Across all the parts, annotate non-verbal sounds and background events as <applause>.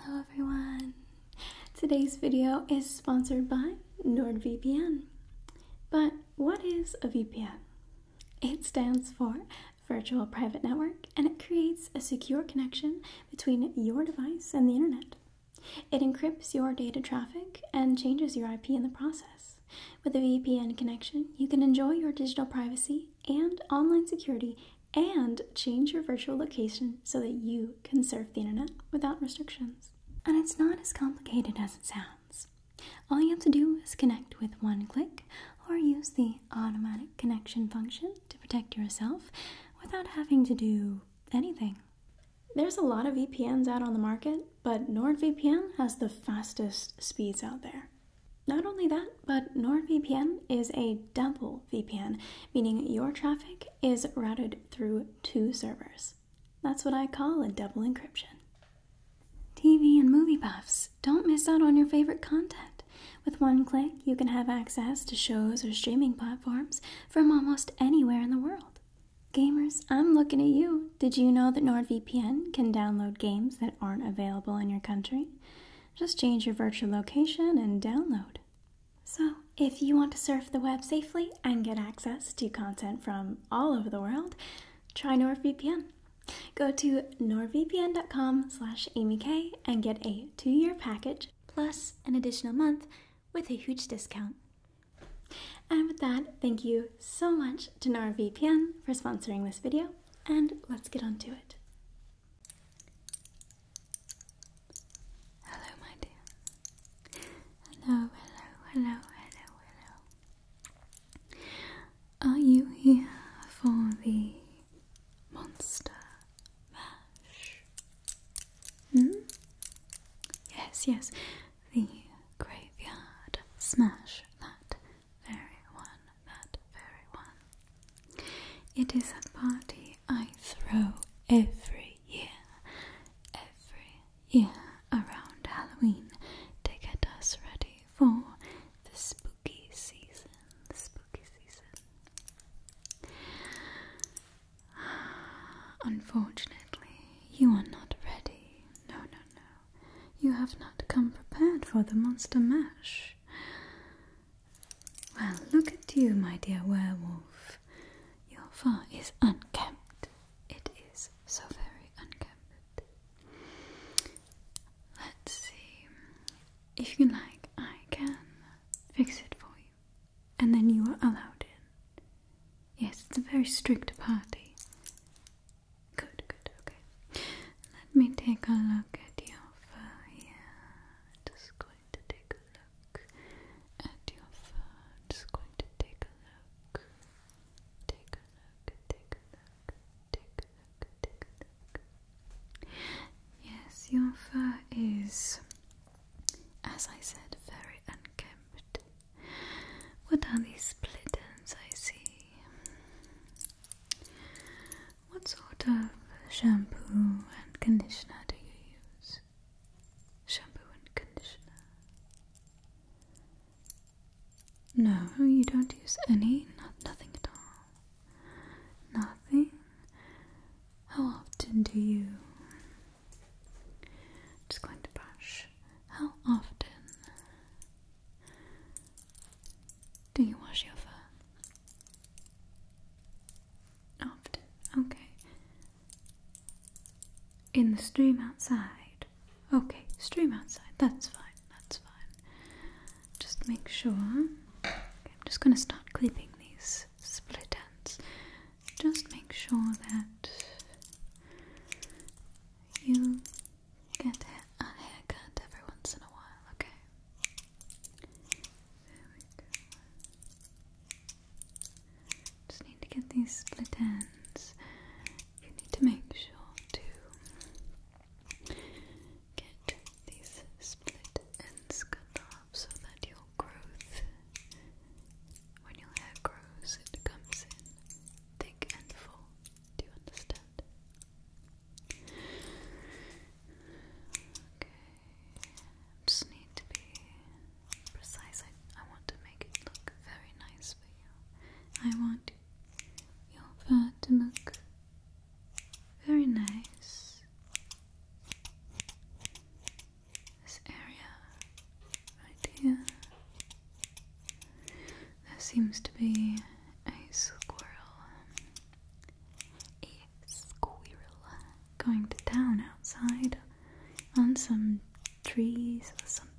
Hello everyone! Today's video is sponsored by NordVPN. But what is a VPN? It stands for Virtual Private Network and it creates a secure connection between your device and the internet. It encrypts your data traffic and changes your IP in the process. With a VPN connection, you can enjoy your digital privacy and online security and change your virtual location so that you can surf the internet without restrictions. And it's not as complicated as it sounds. All you have to do is connect with one click or use the automatic connection function to protect yourself without having to do anything. There's a lot of VPNs out on the market, but NordVPN has the fastest speeds out there. Not only that, but NordVPN is a double VPN, meaning your traffic is routed through two servers. That's what I call a double encryption. TV and movie buffs, don't miss out on your favorite content. With one click, you can have access to shows or streaming platforms from almost anywhere in the world. Gamers, I'm looking at you. Did you know that NordVPN can download games that aren't available in your country? Just change your virtual location and download. So, if you want to surf the web safely and get access to content from all over the world, try NordVPN. Go to nordvpn.com slash amyk and get a two-year package plus an additional month with a huge discount. And with that, thank you so much to NordVPN for sponsoring this video, and let's get on to it. Hello, my dear. Hello, hello, hello, hello, hello. Are you here for the monster mash? Hmm? Yes, yes, the graveyard smash. That very one, that very one. It is a party I throw every year, every year around Halloween to get us ready for the spooky season. The spooky season. <sighs> Unfortunately, you are not ready. No, no, no. You have not come prepared for the monster mash. Well, look at you, my dear werewolf. Your fur is unkempt. It is so very unkempt. Let's see. If you like, I can fix it for you. And then you are allowed in. Yes, it's a very strict party. Good, good, okay. Let me take a look at your fur here. Just going to take a look your fur. i going to take a look. Take a look, take a look, take a look, take a look. Yes, your fur is, as I said, very unkempt. What are these split I see? What sort of shampoo and conditioner do you use? shampoo and conditioner. No, you don't use any? Not, nothing at all. Nothing? How often do you? Just going to brush. How often do you wash your fur? Often, okay. In the stream outside. Okay, stream outside. That's fine, that's fine. Just make sure. I'm just going to start clipping these split ends. Just make sure that you get a haircut every once in a while, okay? There we just need to get these split ends. You need to make sure to get these split ends cut off so that your growth, when your hair grows, it comes in thick and full. Do you understand? Okay just need to be precise. I, I want to make it look very nice for you. I want your fur to look very nice. This area right here. There seems to be a squirrel. A squirrel going to town outside on some trees or something.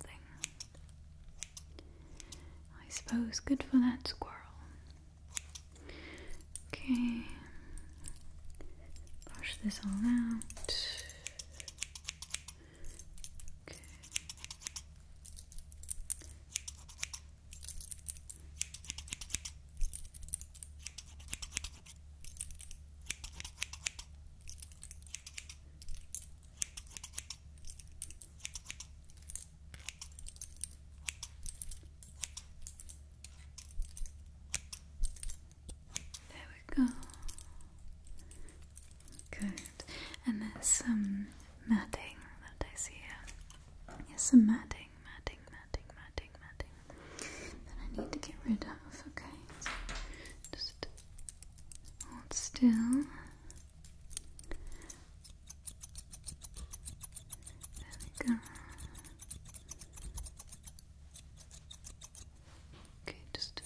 I suppose good for that squirrel. Okay, brush this all out. Okay. There we go. Good. And there's some matting that I see here. Yes, some matting matting, matting, matting, matting, matting I need to get rid of, okay? just hold still. There we go. Okay, just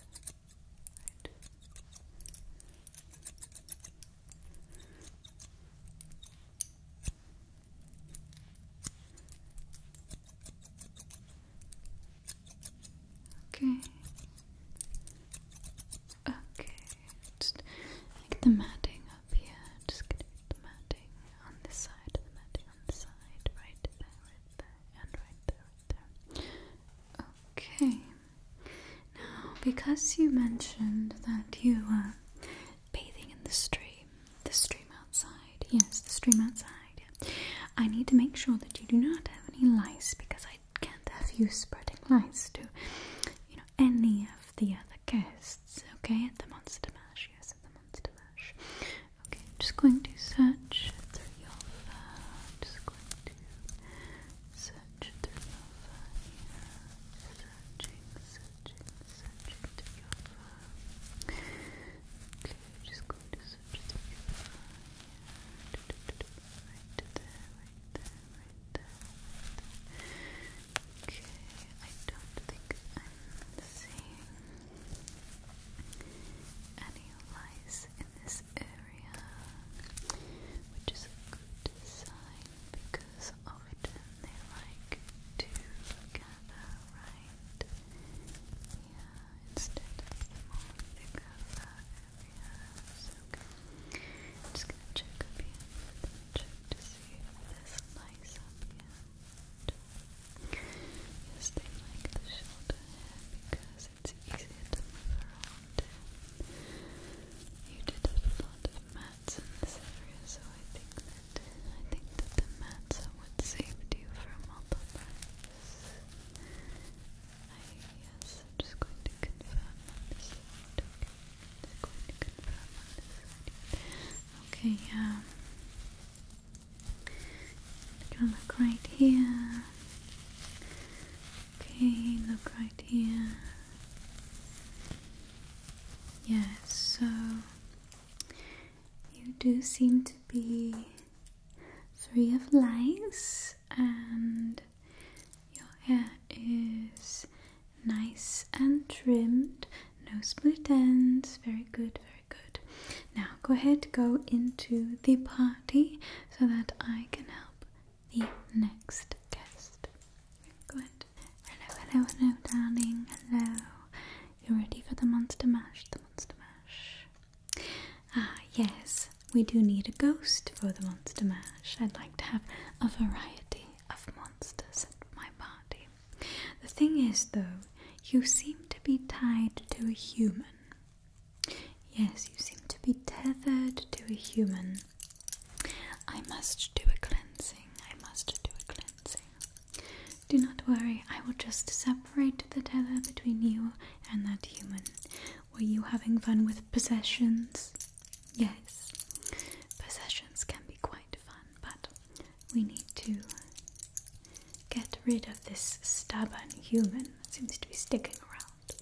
Okay. Okay. Just the matting up here. Just get the matting on this side, the matting on this side, right there, right there, and right there, right there. Okay. Now, because you mentioned that you were bathing in the stream the stream outside. Yes, the stream outside. Yeah. I need to make sure that you do not have any lice because I can't have you spreading lice to, you know, any of the other guests. Okay, at the Monster Mash. Yes, at the Monster Mash. Okay, I'm just going to search through your fur. I'm just going to search through your fur Searching, searching, searching through your fur. Okay, just going to simplify. Right there, right there, right there, right there. Okay, I don't think I'm seeing any lice in this area, which is a good sign because often they like to gather right area instead of the more thicker areas. Okay. just gonna check up here. Check to see if there's lice up here. Yes, like the shoulder because it's easier to move around. You did a lot of mats in this area, so I think I think that the matzah would saved you from all the mess. yes, I'm just going to confirm this side. Okay, just going to confirm this Okay, yeah. look right here. Okay, look right here. Yes, yeah, so you do seem to be three of lights and your hair is nice and trimmed no split ends very good very good now go ahead go into the party so that i can help the next guest go ahead hello hello hello darling hello you're ready for the monster mash, the monster mash. Ah, yes, we do need a ghost for the monster mash. I'd like to have a variety of monsters at my party. The thing is, though, you seem to be tied to a human. Yes, you seem to be tethered to a human. I must do a cleansing. I must do a cleansing. Do not worry, I will just separate the tether between you and that human. Were you having fun with possessions? Yes, possessions can be quite fun, but we need to get rid of this stubborn human that seems to be sticking around.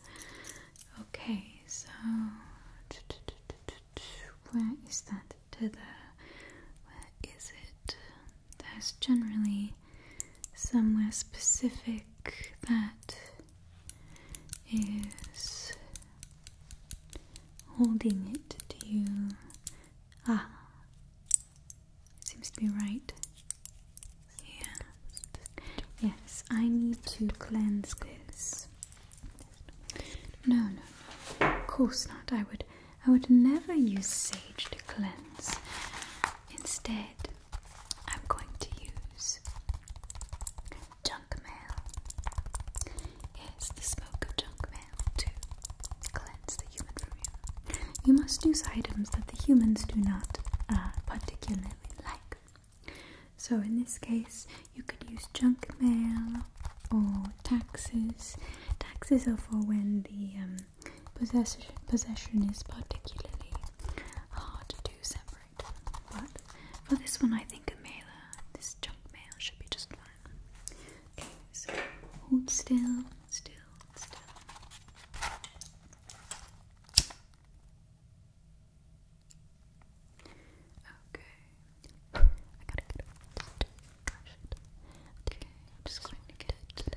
Okay, so where is that tether? Where is it? it there's generally somewhere specific that is holding it to you. Ah, it seems to be right. Yeah. Yes, I need to cleanse this. No, no, no. Of course not. I would I would never use sage to cleanse. Instead, I'm going to use junk mail. Yes, the smoke of junk mail to cleanse the human from you. You must use items that the humans do not uh, particularly like. So, in this case, you could use junk mail or taxes. Taxes are for when the um, Possession, possession is particularly hard to separate, but for this one I think a mailer, this junk mail should be just fine. Okay, so hold still, still, still. Okay, I gotta get it. Okay, I'm just going to get it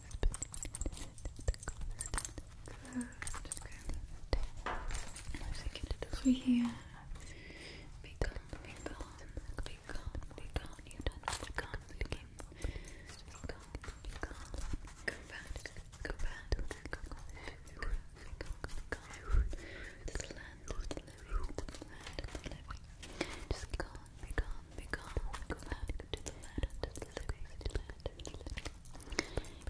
Good. Good. Let's get it over here. Be gone, be gone, be gone, be gone. You don't know what gone became. Be gone, be gone. Go back, go back, go back, go back, go back, go back. This land, this land, this land, this land. Just gone, be gone, be gone. Go back to the land, to the land, to the land.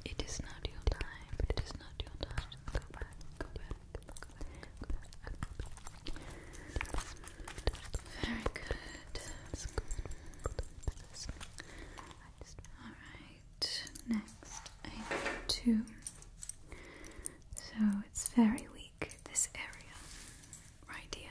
It is not your time. It is not your time. Go back. Go back. Go back. Go back. Very good. All right. Next, two. So it's very weak. This area, right here.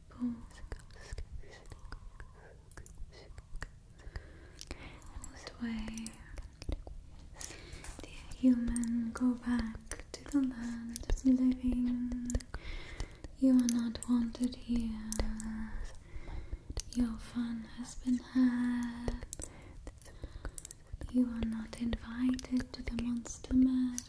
And this way, the human go back to the land of the living. You are not wanted here. Your fun has been had. You are not invited to the monster mess.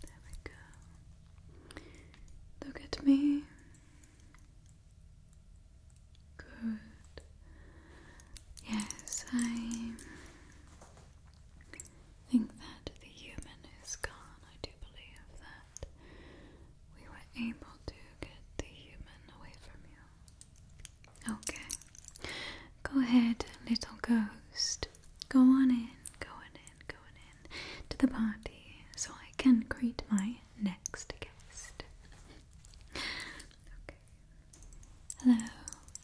There we go. Look at me. Good. Yes, I think that the human is gone. I do believe that we were able to get the human away from you. Okay. Go ahead, little ghost. Go on in, go on in, go on in to the party so I can greet my next guest. okay. Hello,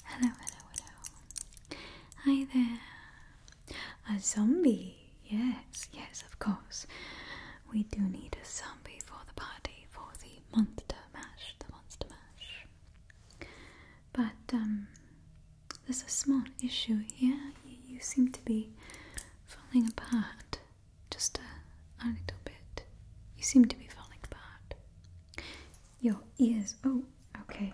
hello, hello, hello. Hi there. A zombie, yes, yes, of course. We do need a zombie for the party, for the monster mash, the monster mash. But um, there's a small issue here. You, seem to be falling apart just a, little bit. You seem to be falling apart. Your ears, oh, okay.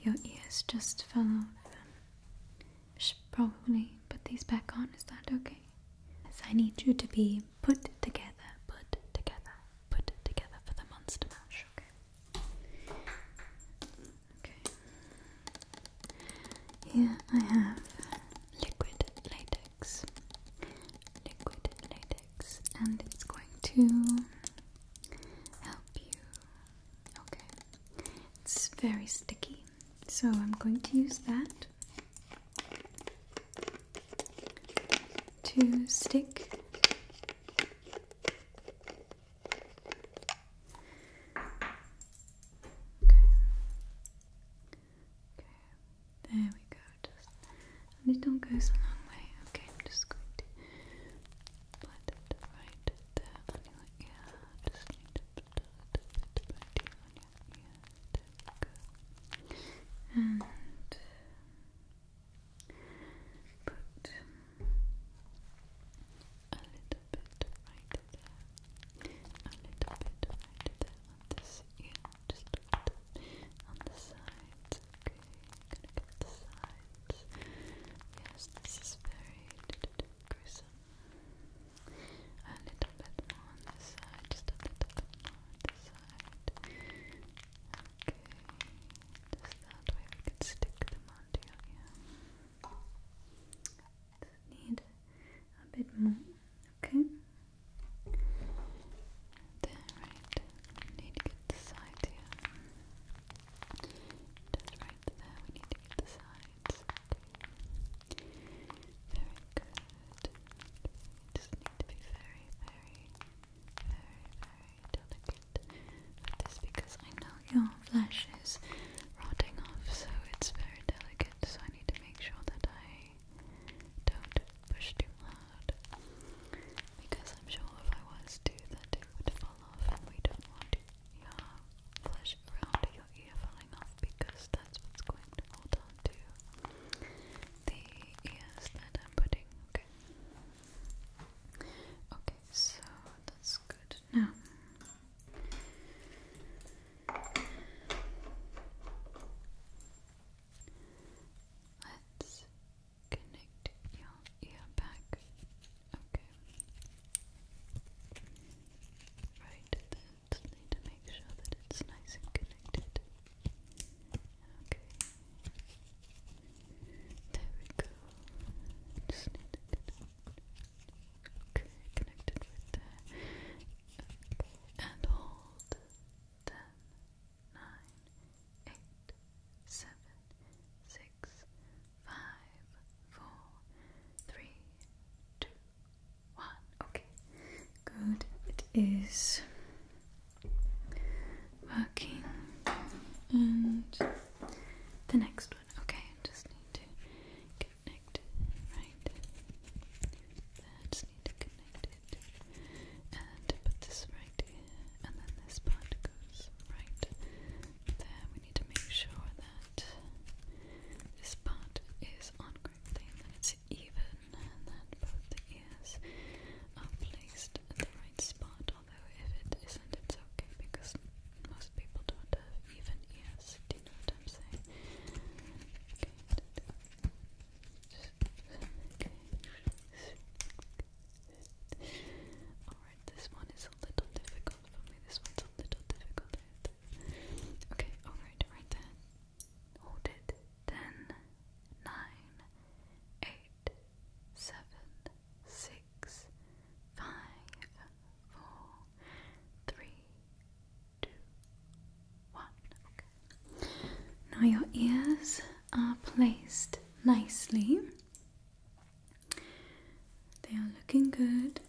Your ears just fell off. I should probably put these back on. Is that okay? Yes, I need you to be put together, put together, put together for the monster mash. Okay. Okay. Here I have liquid latex. Liquid latex, and it's going to help you Okay, it's very sticky, so I'm going to use that to stick okay. okay, there we go, just and it goes a long way, okay, I'm just going to blend it right there on Just need to put a little bit on your ear. There And put a little bit right there. A little bit right there on this Just on the sides. Okay, gonna get the sides. Yes, this is very gruesome. A little bit on this side, just a little bit on this side. Okay, just that way we can stick them onto your need a bit more, okay? There, right. need to get the side here. Just right sides We need to get the sides. Very good. just need to be very, very, very, very delicate with this because I know your flesh is rotting off, so it's very delicate. So I need to make sure that I don't push too hard because I'm sure if I was to, that it would fall off, and we don't want to your flesh around your ear falling off because that's what's going to hold on to the ears that I'm putting. Okay. Okay, so that's good. Now Let's connect your yeah, back. Okay. Right, need to make sure that it's nice and connected. Okay. There we go. Just need Okay, connected with that. And hold. Ten, nine, eight, seven, six six, five, four, three, two, one. Okay, good. It is working. And the next one. Okay, just need to connect right Just need to connect it and put this right here, and then this part goes right there we need to make sure that this part is on correctly and that it's even and that both the ears are placed at the right spot. Although if it isn't, it's okay because most people don't have even ears. Do you know what I'm saying? Okay. Alright, this one is a little difficult for me. This one's Okay, alright, right then. Hold it. Ten, nine, eight, seven, six, five, four, three, two, one. Okay. Now your ears are placed nicely they are looking good.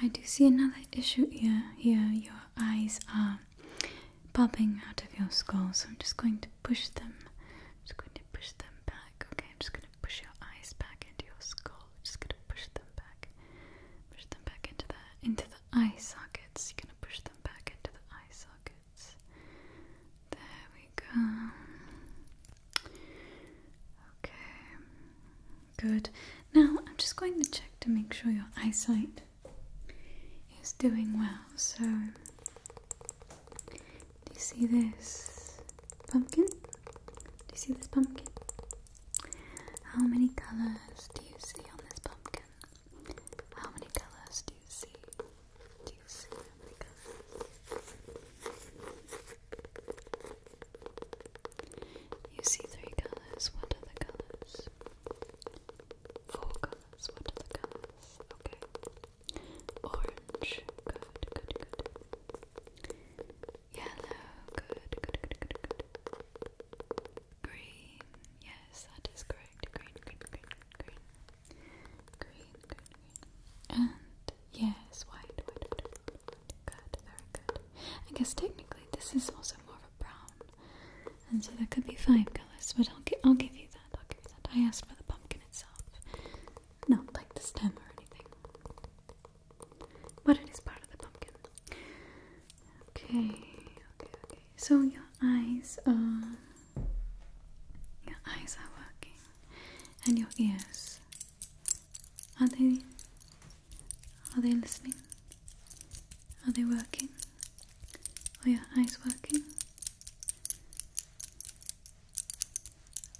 I do see another issue here. Here, your eyes are popping out of your skull, so I'm just going to push them. I'm just going to push them back. Okay, I'm just going to push your eyes back into your skull. I'm just going to push them back. Push them back into the into the eye sockets. You're going to push them back into the eye sockets. There we go. Okay, good. Now I'm just going to check to make sure your eyesight is doing well. So, do you see this pumpkin? Do you see this pumpkin? How many colors do you see on this pumpkin? How many colors do you see? Do you see you see three colors. What are the colors? Four colors. What are the colors? Okay. Orange. Good, good, good. Yellow. Good, good, good, good, Green. Yes, that is correct. Green, green, green, green. Green, green, and yes, white, white, white, good, very good. I guess technically this is also more of a brown, and so there could be five colors, but I'll, gi I'll give you that, I'll give you that. I asked for the pumpkin itself, not like the stem or anything, but it is part of the pumpkin. Okay, okay, okay. So your eyes are... Your eyes are working, and your ears are they are they listening? Are they working? Are your eyes working?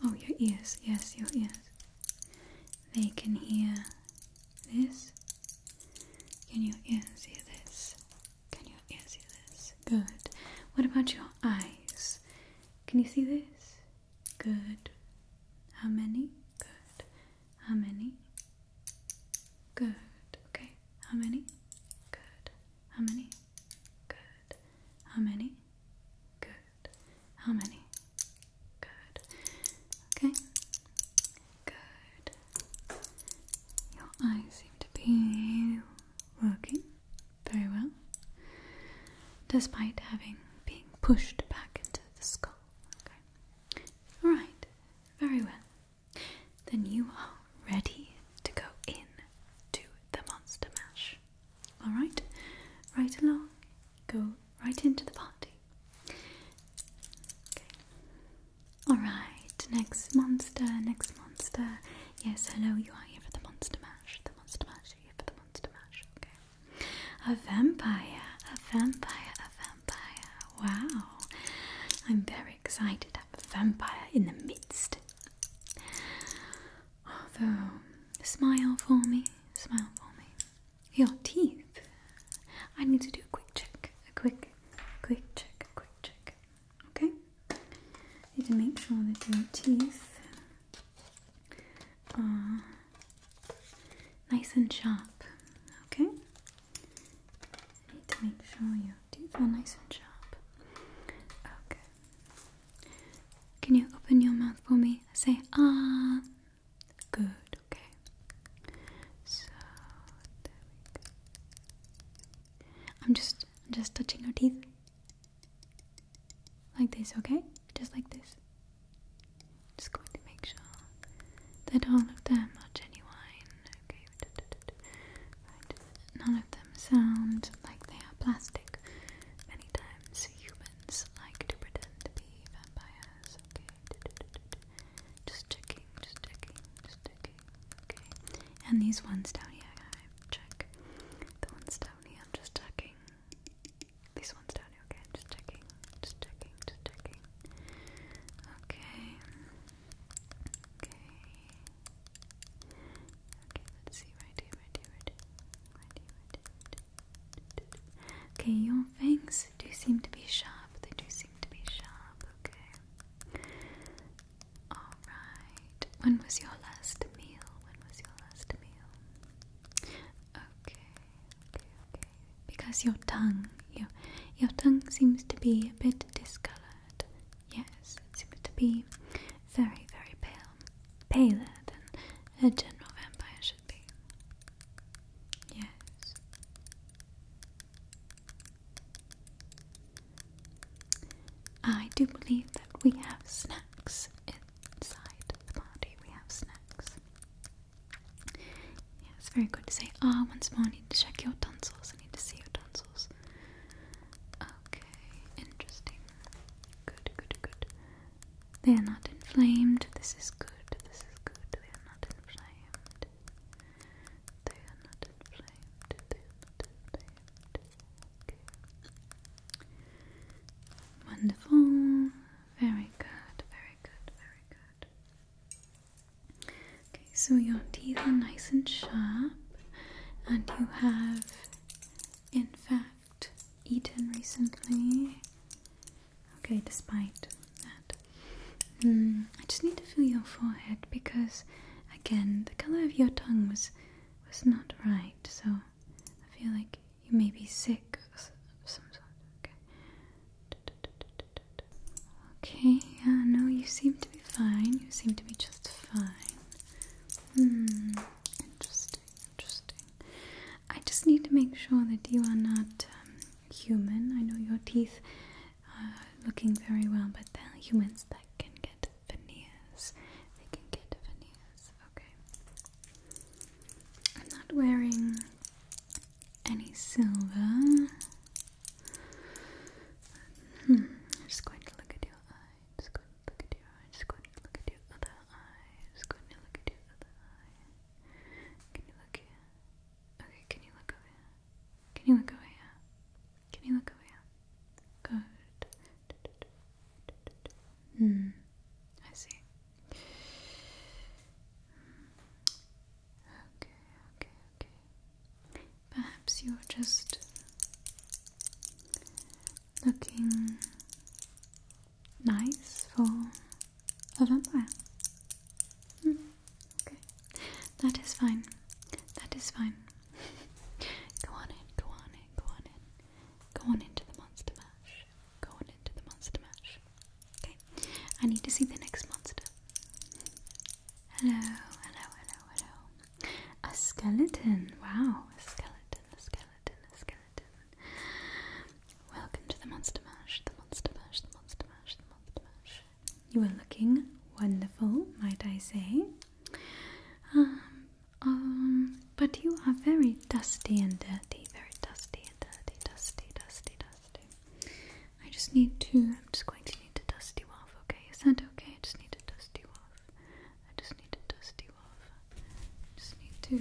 Oh, your ears, yes, your ears. They can hear this. Can your ears hear this? Can your ears hear this? Good. What about your eyes? Can you see this? Good. How many? Good. How many? Good. Okay. How many? Good. How many? Good. How many? Good. How many? Good. Okay. Good. Your eyes seem to be working very well despite having being pushed back into the skull. All right. Very well. Then you are ready to go in to the monster mash. All right. Right along. Go right into the party. All right. Next monster. Next monster. Yes. Hello. You are here for the monster mash. The monster mash. You're here for the monster mash. Okay. A vampire, a vampire, a vampire. Wow. I'm very excited. I have a vampire in the midst. Although, smile for me, smile for me. Your teeth. I need to do a quick check. A quick, quick check, a quick check. Okay? Need to make sure that your teeth uh, nice and sharp. Okay, I need to make sure your teeth are nice and sharp. Okay, can you open your mouth for me? Say ah. Good. Okay. So I'm just just touching your teeth. Like this, okay? Just like this. Just going to make sure that all of them are genuine. Okay, None of them sound like they are plastic. Many times humans like to pretend to be vampires. Okay, just checking, just checking, just checking. Okay, and these ones down here, check. The ones down here, just checking. These ones down here, okay? Just checking, just checking, just checking. Okay. Okay. Okay, let's see. Right here, right here, right here. Right here, right here. Okay, your fangs do seem to be sharp. They do seem to be sharp, okay? Alright. When was your last meal? When was your last meal? Okay. Because your tongue, your your tongue seems to be a bit discolored. Yes, it seems to be very, very pale, paler than a general vampire should be. Yes. I do believe that we have snacks inside the body. We have snacks. Yeah, it's very good to say, ah, once more I need to check your tonsils. I need to see your tonsils. Okay, interesting. Good, good, good. They are not inflamed. This is good. This is good. They are not inflamed. They are not inflamed. They are not inflamed. Okay. Wonderful. Very good, very good, very good. Okay, so your teeth are nice and sharp, and you have, in fact, eaten recently. Okay, despite that. Hmm, I just need to feel your forehead because, again, the color of your tongue was was not right. So I feel like you may be sick of some sort. Okay. Okay, yeah, uh, no, you seem to be fine. You seem to be just fine. Hmm, interesting, interesting. I just need to make sure that you are not um, human. I know your teeth are looking very well, but there are humans that can get veneers. They can get veneers. Okay. I'm not wearing any silver. Hmm, just going to look at your eye. Just going to look at your eye. Just going to look at your other eye. Just going to look at your other eye. Can you look Okay, can you look over Can you look over Can you look over Good. Hmm, I see. Okay, okay, okay. Perhaps you're just looking nice for a vampire. Hmm, okay, that is fine. That is fine. <laughs> go on in, go on in, go on in. Go on into the monster mash. Go on into the monster mash. Okay, I need to see the next monster. Hello, hello, hello, hello. A skeleton. Wow, a skeleton, a skeleton, a skeleton. Welcome to the Monster Mash, the Monster Mash, the Monster Mash, the Monster Mash. You are looking wonderful, might I say. Um, um, but you are very dusty and dirty, very dusty dirty, dusty, dusty, dusty. I just need to, I'm just going to need to dust you off, okay? Is that okay? I just need to dust you off. I just need to dust you off. I just need to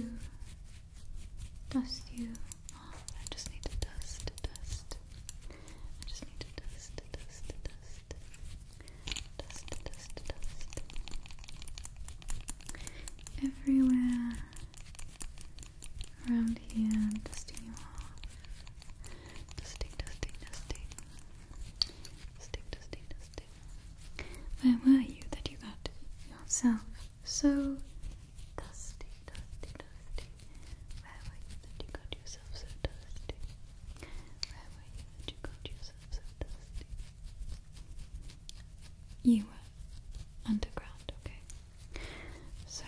dust you off. I just need to dust, dust. I just need to dust, dust, dust. Dust, dust, dust. Everywhere around here and dusting you off. Dusting, dusting, Where were you that you got yourself so dusty, dusty, dusty? Where were you that you got yourself so dusty? Where were you that you got yourself so dusty? You were underground, okay? So,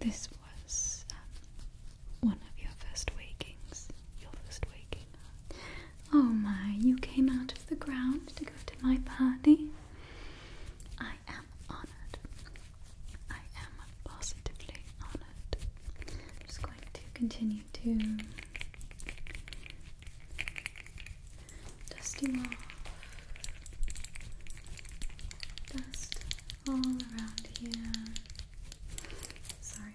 this was um, one of your first wakings. Your first waking. Oh my, you came out of the ground to go to my party? I am honoured. I am positively honoured. I'm just going to continue to dusting off dust all around here. Sorry,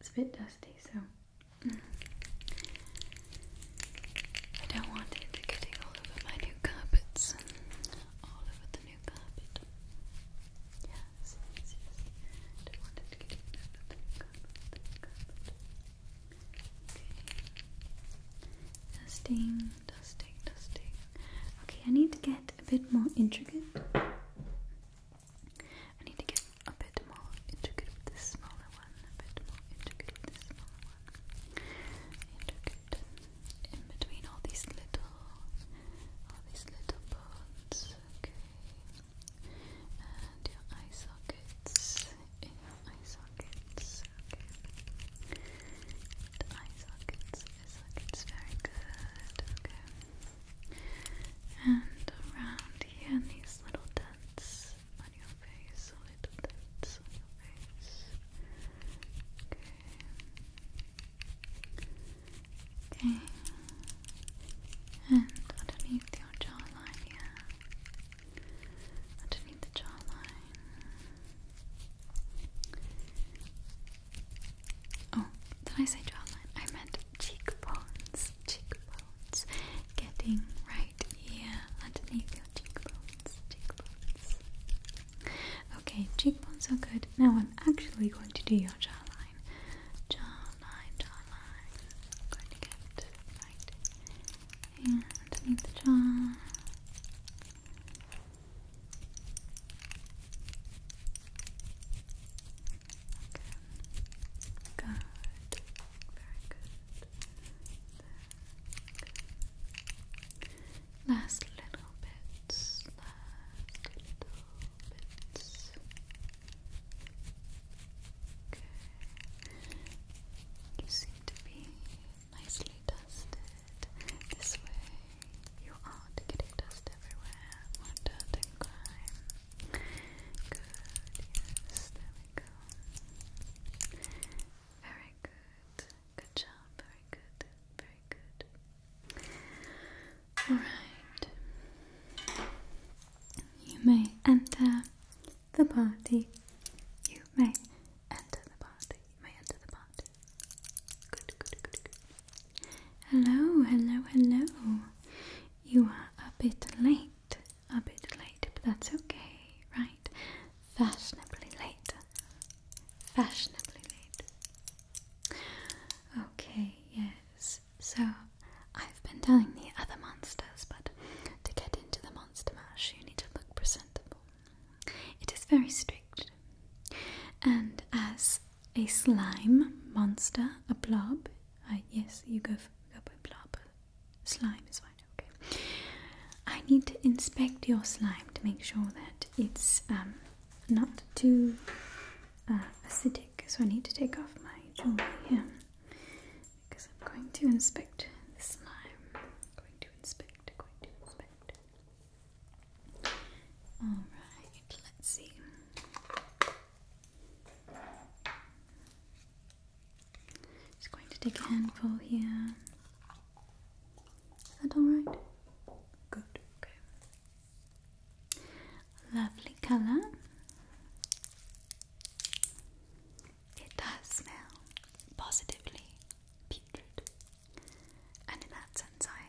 it's a bit dusty, so mm. I don't want it getting all over my new carpets, all over the new carpet. Yes, yes, don't want it getting all over the new carpets. Okay. Dusting, dusting, dusting. Okay, I need to get a bit more intricate. I need to get a bit more intricate this smaller one. A bit more intricate this smaller one. Intricate in between all these little, all these little bones. Okay. And your eye sockets. In your eye sockets okay. And eye very good, okay. And around here, these little dents on your face, little dents on your face, okay. Okay. And underneath your jawline here underneath the jawline. Oh, did I say jawline? I meant cheekbones. Cheekbones. Getting right here underneath your cheekbones. Cheekbones. Okay, cheekbones are good. Now I'm actually going to do your jawline. Jawline, jawline. going to get right here underneath the jaw. Good. Very Good. Last little bits. Last little bits. Okay. You seem to be nicely dusted this way. You aren't getting dust everywhere. More dirt and Good, yes, there we go. Very good. Good job, very good, very good. Alright. You may enter the party. You may enter the party my hand to the pot. Good, good, good, good. Hello, hello, hello. You are a bit late, a bit late, but that's okay, right? Fashionably late. Fashionably late. Okay, yes. So, I've been telling the other monsters, but to get into the monster mash, you need to look presentable. It is very strict, and as a slime monster, a blob. yes, you go for, go by blob. Slime is fine. Okay. I need to inspect your slime to make sure that it's um, not too uh, acidic. So I need to take off my jewelry here because I'm going to inspect the slime. going to inspect. Going to inspect. Alright, let's see. Just going to take a handful here. Is that alright? Good, okay. Lovely colour. It does smell positively putrid and in that sense, I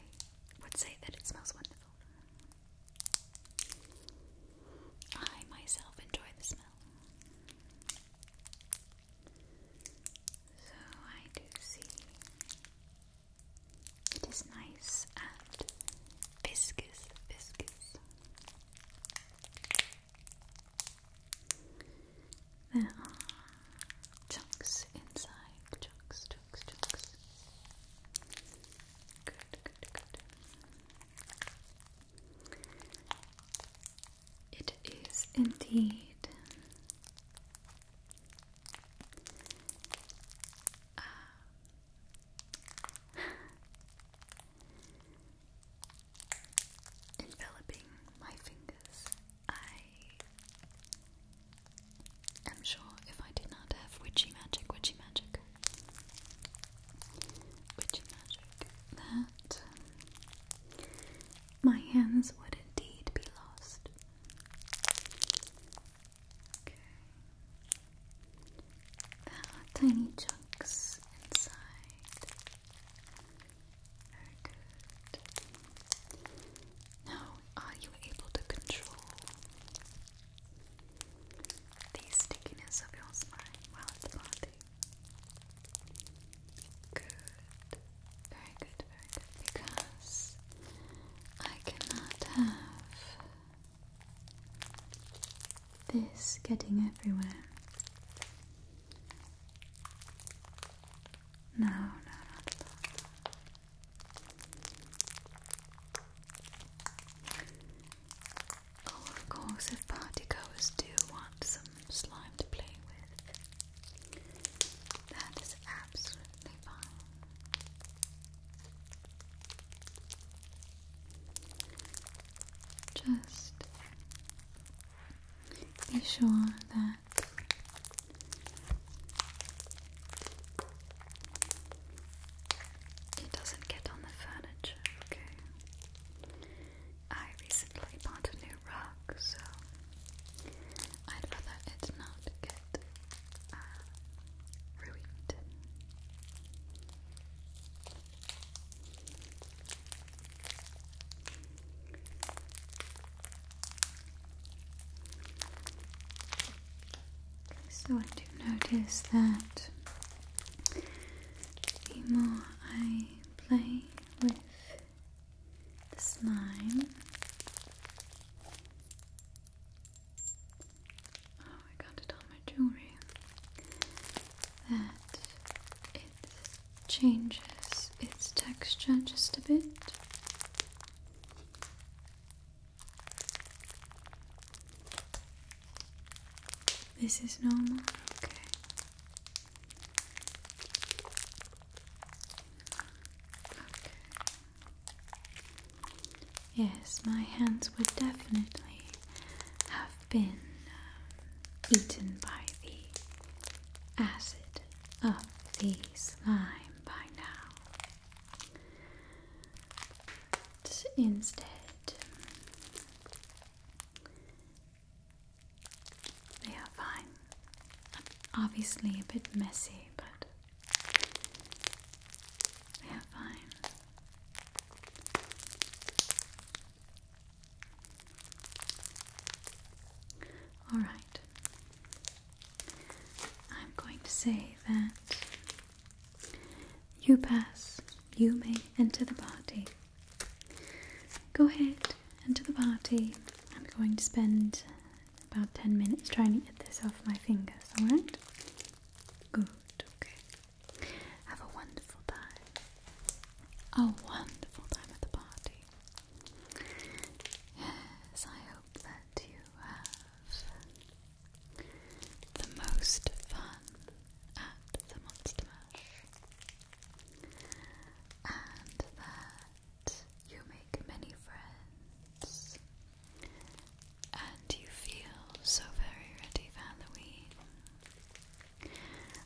would say that it smells wonderful. I myself enjoy the smell. So I do see it is nice and viscous, viscous. There are chunks inside. Chunks, chunks, chunks. Good, good, good. It is indeed uh, <laughs> enveloping my fingers I am sure if I did not have witchy magic, witchy magic, witchy magic, that my hands would indeed be lost. There are tiny chunks inside. Very good. Now, are you able to control the stickiness of your slime while it's parting? Good. Very good, very good. Because I cannot have this getting everywhere. No, no, not at all. Oh, of course, if partygoers do want some slime to play with, that is absolutely fine. Just be sure that that. It doesn't get on the furniture, okay? I recently bought a new rug, so I'd rather it not get uh, ruined. So I do notice that the more I play with the slime, oh I got it on my jewelry, that it changes its texture just a bit. This is normal, okay. Yes, my hands would definitely have been um, eaten by the acid up the slime by now. instead, they are fine. Obviously, a bit messy, but they are fine. All right. I'm going to say that you pass, you may enter the party. Go ahead, enter the party. I'm going to spend about 10 minutes trying to get this off my fingers, alright? Good, okay. Have a wonderful time. A wonderful time at the party. Yes, I hope that you have the most fun at the Monster Mash and that you make many friends and you feel so very ready for Halloween.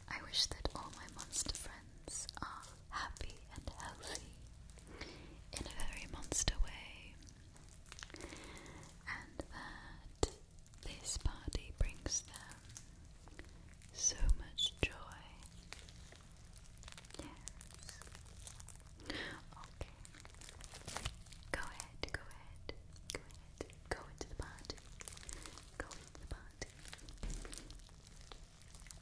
I wish that all my monster friends are happy and healthy in a very monster way, and that this party brings them so much joy. Yes. Okay. Go ahead, go ahead, go ahead, go into the party. Go into the party.